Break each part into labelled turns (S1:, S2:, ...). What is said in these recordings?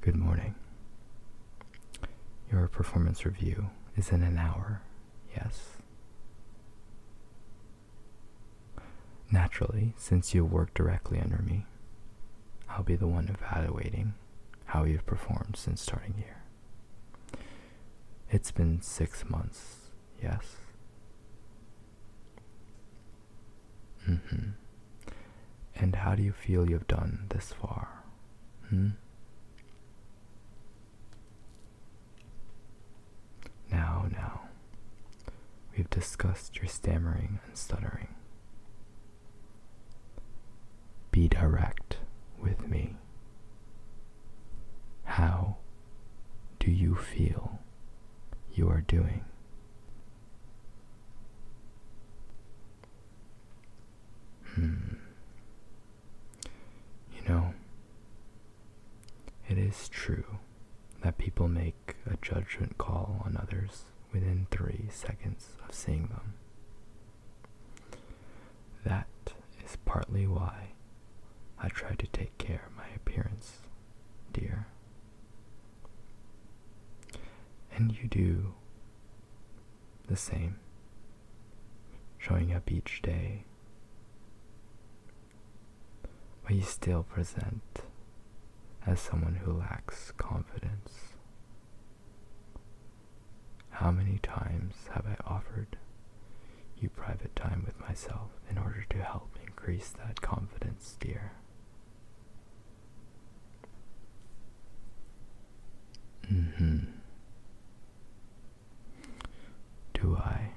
S1: Good morning. Your performance review is in an hour, yes? Naturally, since you work directly under me, I'll be the one evaluating how you've performed since starting here. It's been six months, yes? Mm-hmm. And how do you feel you've done this far? Hmm? Now, now, we've discussed your stammering and stuttering. Be direct with me. How do you feel you are doing? Hmm. You know, it is true that people make a judgment call on others within three seconds of seeing them. That is partly why I try to take care of my appearance, dear. And you do the same, showing up each day. But you still present as someone who lacks confidence. How many times have I offered you private time with myself in order to help increase that confidence, dear? hmm. Do I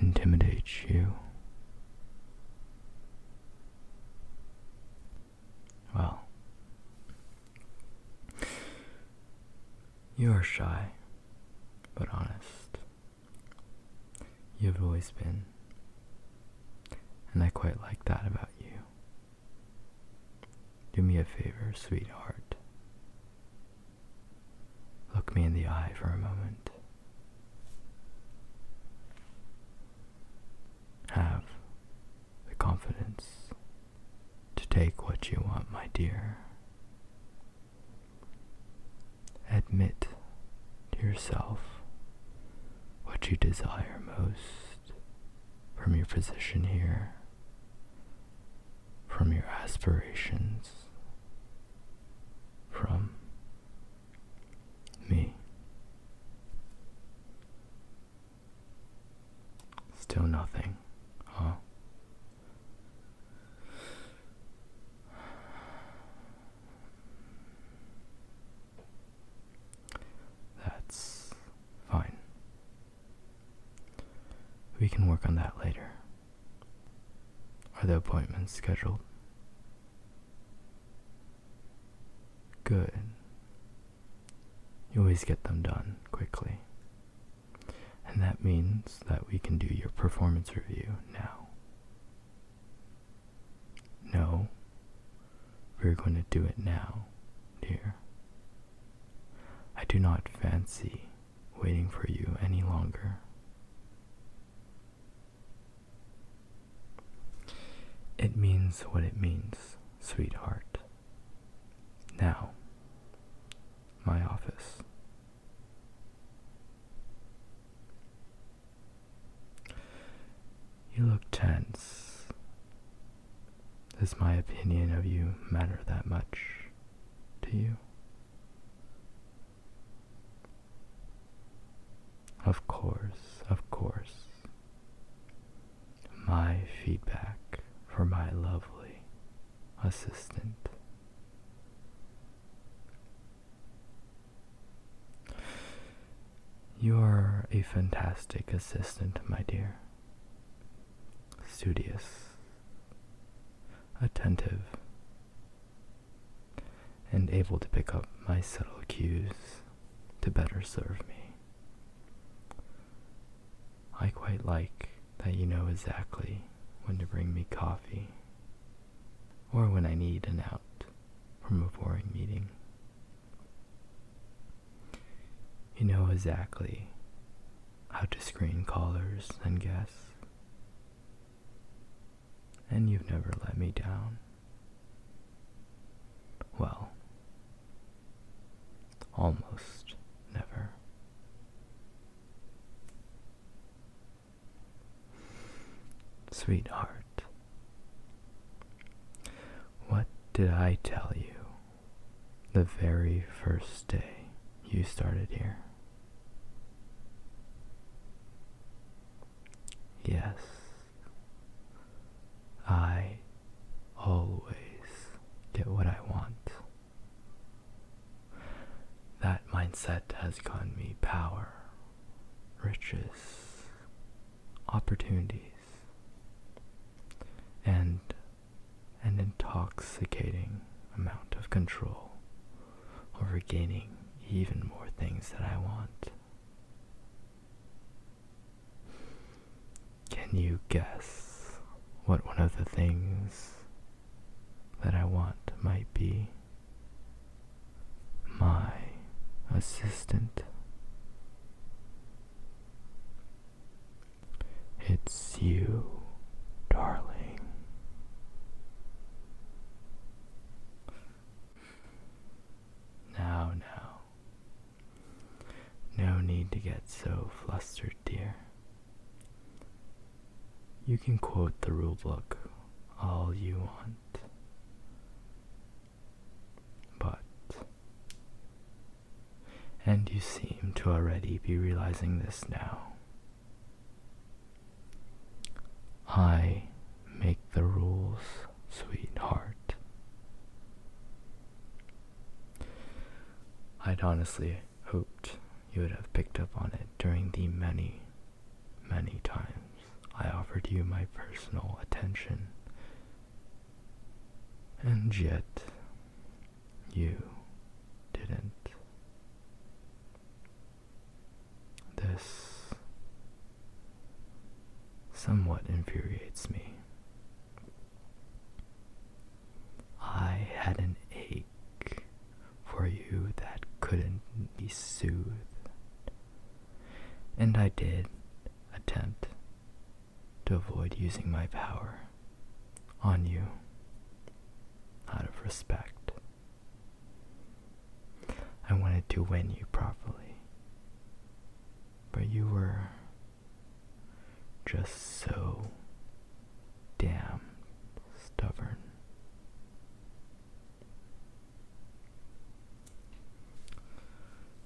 S1: intimidate you? Well, you are shy, but honest. You've always been. And I quite like that about you. Do me a favor, sweetheart. Look me in the eye for a moment. Have the confidence to take what you want, my dear. Admit to yourself what you desire most from your position here, from your aspirations, from me. Still nothing, huh? That's fine. We can work on that later. Are the appointments scheduled? Good. You always get them done quickly. And that means that we can do your performance review now. No, we're going to do it now, dear. I do not fancy waiting for you any longer. It means what it means, sweetheart. Now, my office. You look tense. Does my opinion of you matter that much to you? Of course, of course. My feedback for my lovely assistant you are a fantastic assistant, my dear. Studious, attentive, and able to pick up my subtle cues to better serve me. I quite like that you know exactly when to bring me coffee, or when I need an out from a boring meeting. You know exactly how to screen callers and guests, and you've never let me down. Well, almost never. Sweetheart, what did I tell you the very first day you started here? Yes, I always get what I want. That mindset has given me power, riches, opportunities, and an intoxicating amount of control over gaining even more things that I want. Can you guess what one of the things that I want might be? My assistant. It's you, darling. Now, now. No need to get so flustered, dear. You can quote the rulebook all you want, but. And you seem to already be realizing this now. I make the rules, sweetheart. I'd honestly hoped you would have picked up on it during the many, many times I offered you my personal attention. And yet, you didn't. This somewhat infuriates me. I had an ache for you that couldn't be soothed, and I did attempt to avoid using my power on you out of respect. I wanted to win you properly, but you were just so damn stubborn.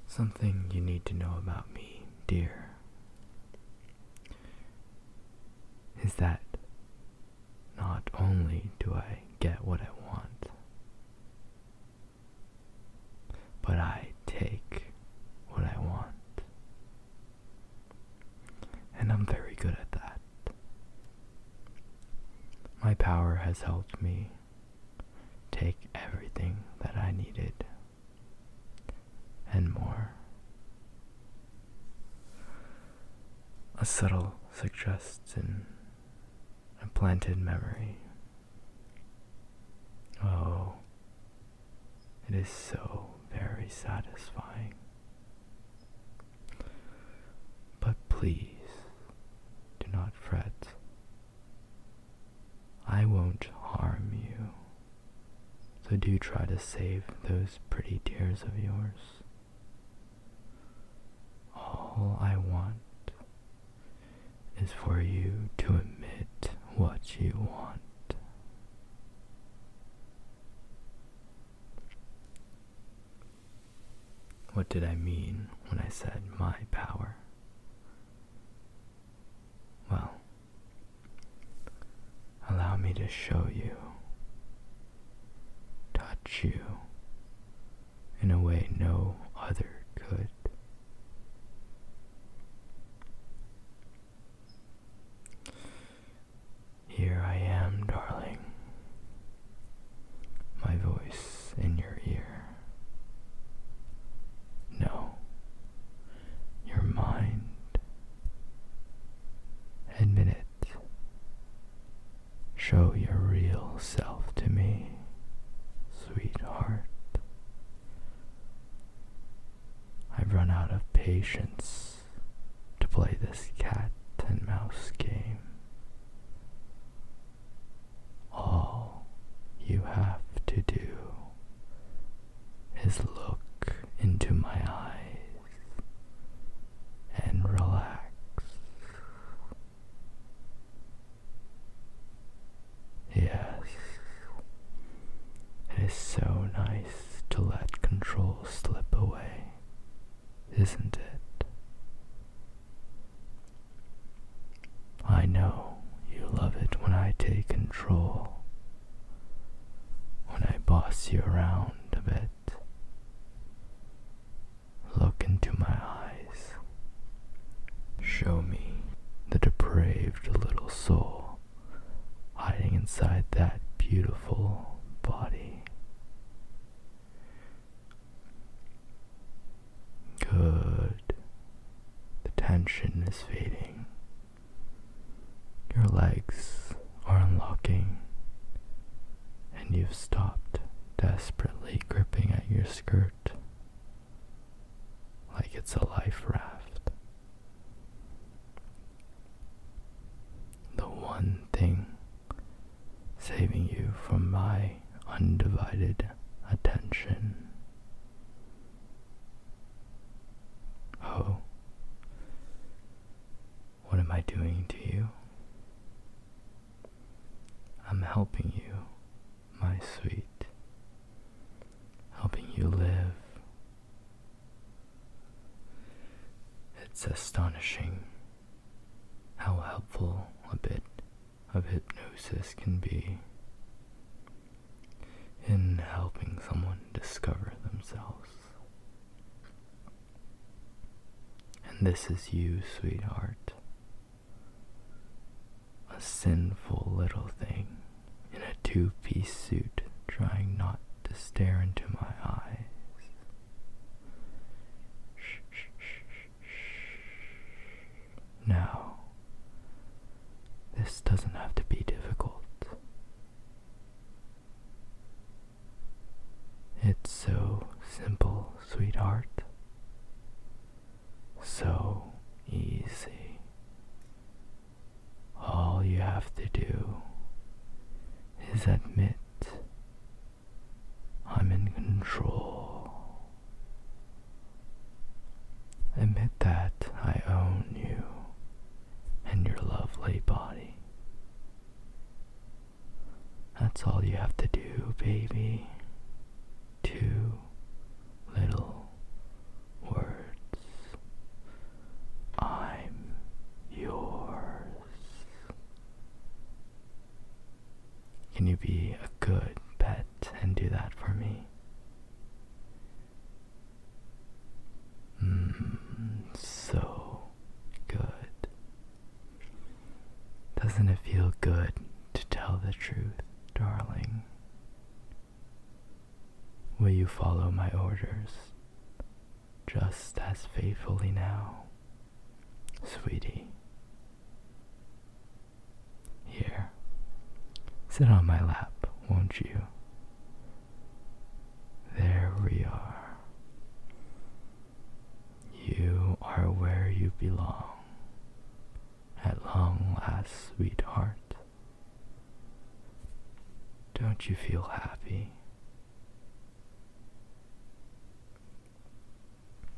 S1: Something you need to know about me, dear, is that not only do I get what I want, but I take what I want. And I'm very good at that. My power has helped me take everything that I needed and more. A subtle suggestion, a planted memory, Oh, it is so very satisfying. But please do not fret. I won't harm you. So do try to save those pretty tears of yours. All I want is for you to admit what you want. What did I mean when I said my power? Well, allow me to show you, touch you in a way no other could. Here I am, darling, my voice in your ear. No, your mind. Admit it. Show your real self to me, sweetheart. I've run out of patience to play this cat and mouse game. All you have to do is look into my eyes and relax. Yes, it is so nice to let control slip away, isn't it? I know you love it when I take control, when I boss you around a bit. Look into my eyes. Show me the depraved little soul hiding inside that beautiful body. Good. The tension is fading. Your legs are unlocking, and you've stopped desperately gripping at your skirt like it's a life raft. The one thing saving you from my undivided attention. Oh, what am I doing to you? I'm helping you, my sweet, helping you live. It's astonishing how helpful a bit of hypnosis can be in helping someone discover themselves. And this is you, sweetheart. A sinful little thing in a two piece suit trying not to stare into my eyes. Shh, shh, shh, shh. Now, this doesn't have to be difficult. It's so simple, sweetheart so easy. All you have to do is admit I'm in control. Admit that I own you and your lovely body. That's all you have to do, baby. Two little words. I'm yours. Can you be a good pet and do that for me? Mm, so good. Doesn't it feel good to tell the truth, darling? Will you follow my orders just as faithfully now, sweetie? Here, sit on my lap, won't you? There we are. You are where you belong. At long last, sweetheart. Don't you feel happy?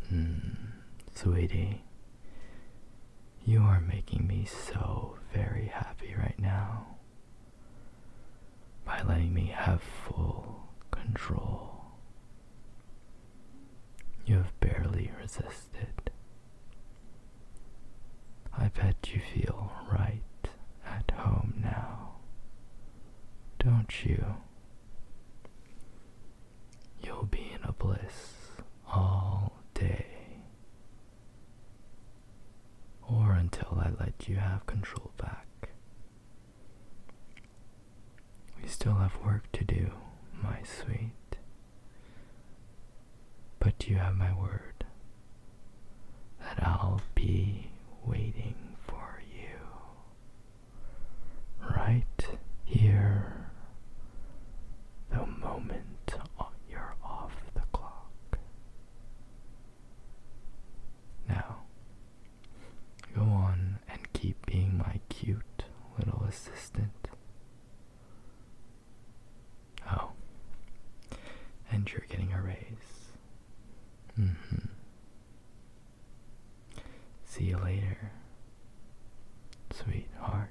S1: Hmm, sweetie. You are making me so very happy right now by letting me have full control. You have barely resisted. I bet you feel right at home now, don't you? You'll be in a bliss all day. Or until I let you have control back we still have work to do, my sweet. But you have my word that I'll be waiting for you. Right here, the moment you're off the clock. Now, Go on and keep being my cute little assistant. Oh, and you're getting a raise. Mm hmm. See you later, sweetheart.